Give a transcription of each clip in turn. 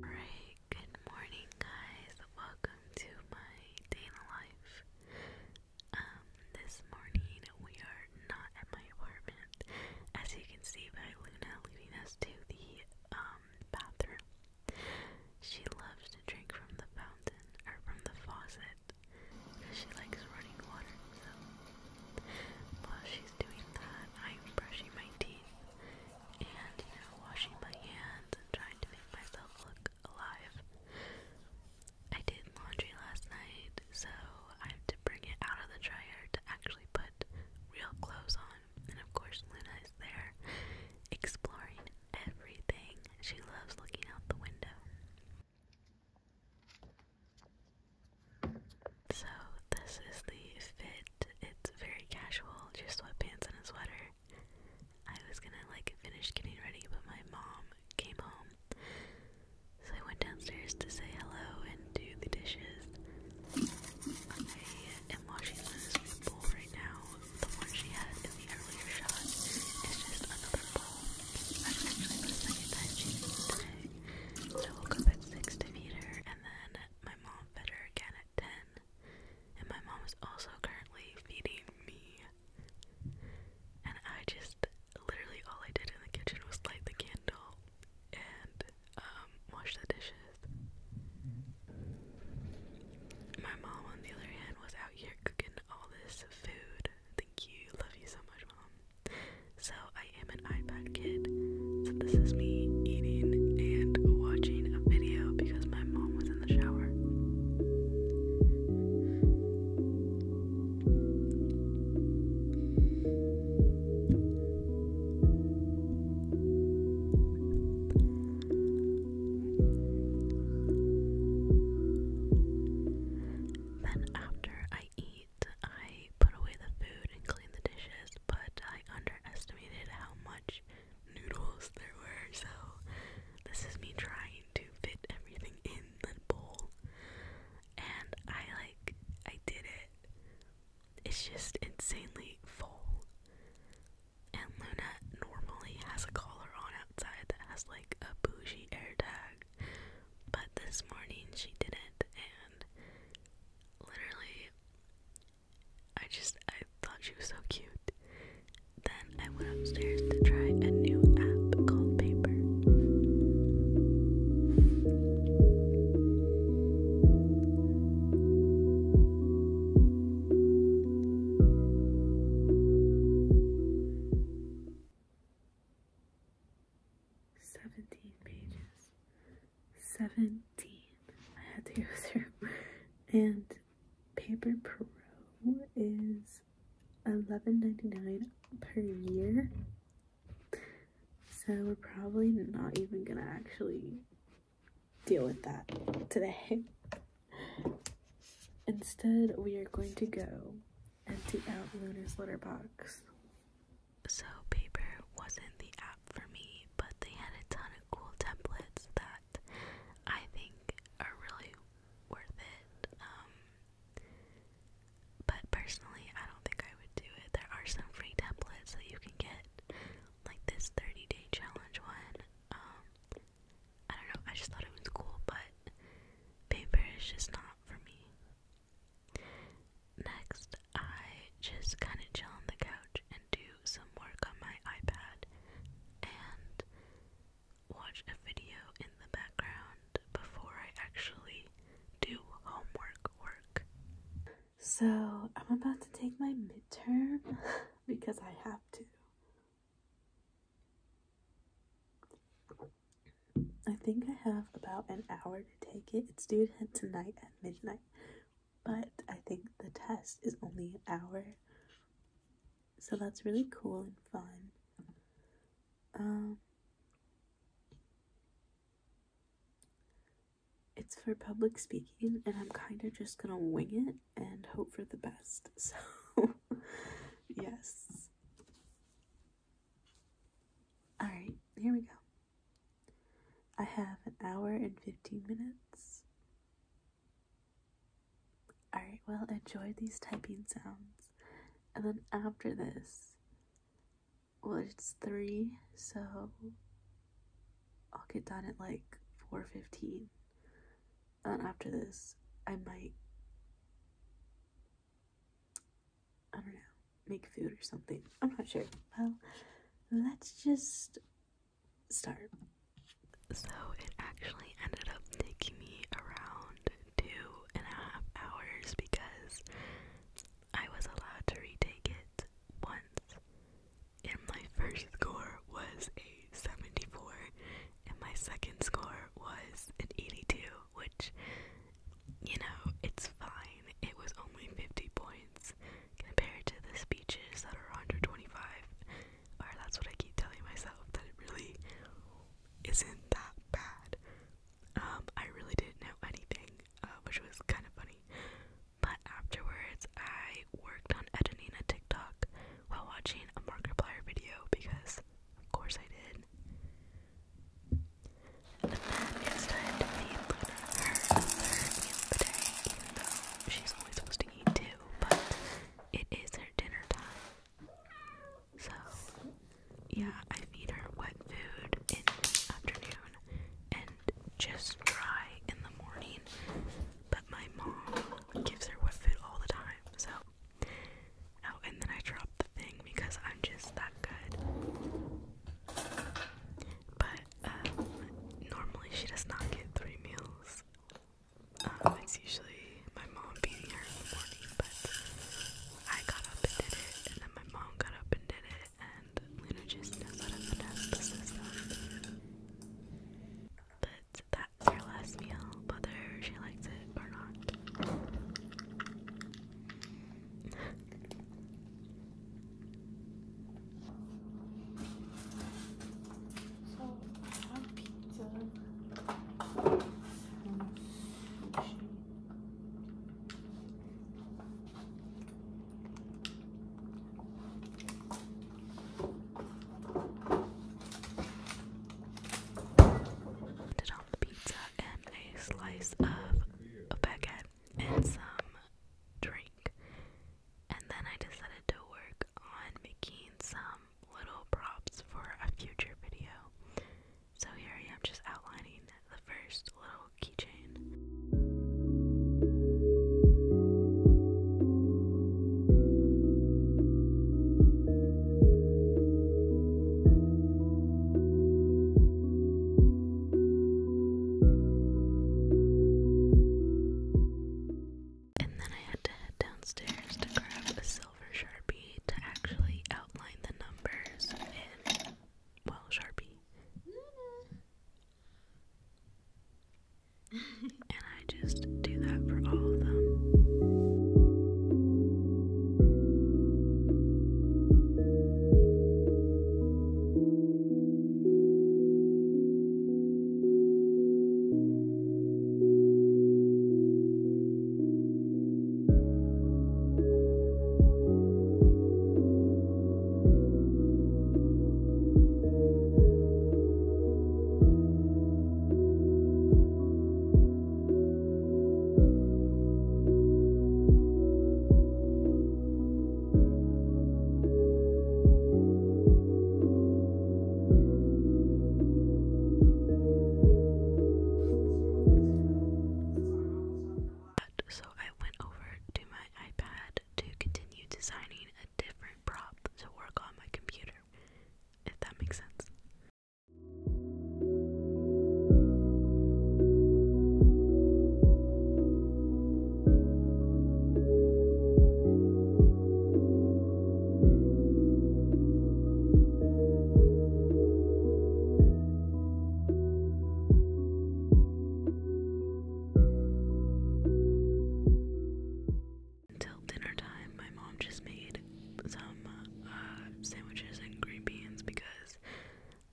Break Good morning, guys. Welcome to my daily life. Um, this morning we are not at my apartment, as you can see by Luna leading us to the um, bathroom. She loves to drink from the fountain or from the faucet because she likes running water. So while she's doing that, I'm brushing my teeth and you know, washing my hands and trying to make myself look alive. I did laundry last night, so I have to bring it out of the dryer to actually put real clothes on. And of course, Luna is there exploring everything. She loves looking out the window. So this is the fit. It's very casual, just sweatpants and a sweater. I was gonna like finish getting ready, but my mom came home. So I went downstairs to say hello and do the dishes. I am washing this bowl right now. The one she had in the earlier shot is just another bowl. That's actually the second time she's eaten today. So I woke up at 6 to feed her, and then my mom fed her again at 10, and my mom is also currently feeding me. And I just literally all I did in the kitchen was light the candle and um, wash the dishes. My mom, on the other hand, was out here cooking all this food. Thank you. Love you so much, mom. So I am an iPad kid. So this is me eating and watching a video because my mom was in the shower. Then, after I eat, I put away the food and cleaned the dishes, but I underestimated how much noodles there were, so this is me trying to fit everything in the bowl. And I like, I did it. It's just insanely full. And Luna normally has a collar on outside that has like a bougie air tag, but this morning she didn't, and literally, I just I thought she was so cute. Then I went upstairs to try a new app called Paper. 17 pages. 17. I had to go through. And Paper Pro is eleven ninety nine per year. So we're probably not even gonna actually deal with that today. Instead, we are going to go empty out Luna's litter box. So, paper wasn't the app for me, but they had a ton of cool templates that I think are really worth it. Um, but personally, I don't think I would do it. There are some free templates that you can get, like this 30 day challenge one. Um, I don't know, I just thought it was cool, but paper is just not for me. Next, I just kind of chill on the couch and do some work on my iPad and watch a video in the background before I actually do homework work. So, I'm about to take my midterm because I have to. I think I have about an hour to take it. It's due tonight at midnight, but I think the test is only an hour. So that's really cool and fun. Um, it's for public speaking, and I'm kind of just gonna wing it and hope for the best. So, yes. Alright, here we go. I have an hour and 15 minutes. Alright, well, enjoy these typing sounds. And then after this, well, it's 3, so I'll get done at like 4.15. And after this, I might I don't know, make food or something. I'm not sure. Well, let's just start. So it actually ended up taking me around two and a half hours because I was allowed to retake it once. And my first score was a 74, and my second score was an 82 which, you know, it's fine. It was only 50 points compared to the speeches that are under twenty five. Or that's what I keep telling myself, that it really isn't that bad. Um, I really didn't know anything, uh, which was kind of funny. But afterwards, I worked on editing a TikTok while watching a Markiplier video because, of course, I did. And then it's time to feed Luna her third even though she's only supposed to eat two, but it is her dinner time. So, yeah, I feed her wet food in the afternoon and just dry in the morning. But my mom gives her wet food all the time, so Oh, and then I dropped the thing because I'm just that good. But um, normally she does not get three meals. Um, it's usually my mom feeding her in the morning, but I got up and did it, and then my mom got up and did it, and Luna just knows how to finesse the system. But that that's her last meal, whether she likes it or not. So I have pizza did on the pizza and a slice of a baguette and some drink, and then I decided to work on making some little props for a future video. So here I am just outlining the first little keychain. And then I had to head downstairs to grab a silver sharpie to actually outline the numbers in, well, sharpie. and I just do that for all of them. So I went over to my iPad to continue designing a different prop to work on my computer if that makes sense. Until dinner time, my mom just made some uh, sandwiches and green beans because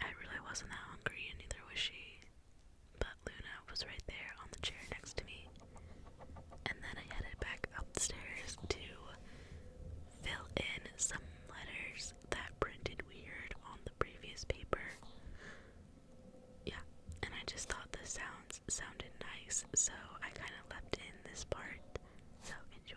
I really wasn't that hungry and neither was she. But Luna was right there on the chair next to me. And then I headed back upstairs to fill in some letters that printed weird on the previous paper yeah, and I just thought the sounds sounded nice, so I kind of left in this part. So enjoy.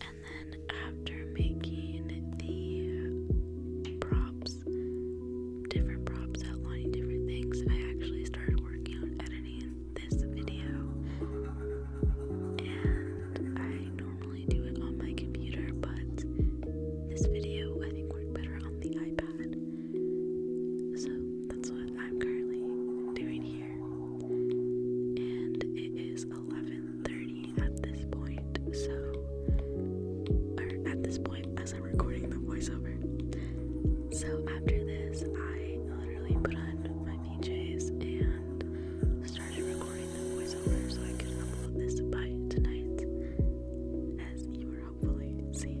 And then after making the props different props outlining different things. I actually started working on editing this video, and I normally do it on my computer, but this video I think worked better on the iPad. So that's what I'm currently doing here. And it is 11:30 at this point, so or at this point as recording the voiceover. So after this, I literally put on my PJs and started recording the voiceover so I can upload this by tonight, as you were hopefully seeing.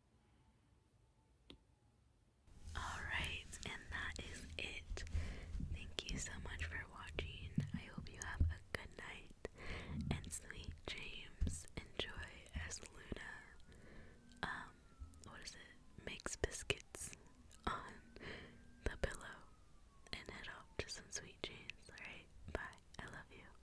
Alright, and that is it. Thank you so much for watching. I hope you have a good night and sweet dreams. Enjoy as Luna, um, what is it, makes biscuits on the pillow and head off to some sweet dreams. Alright, bye. I love you.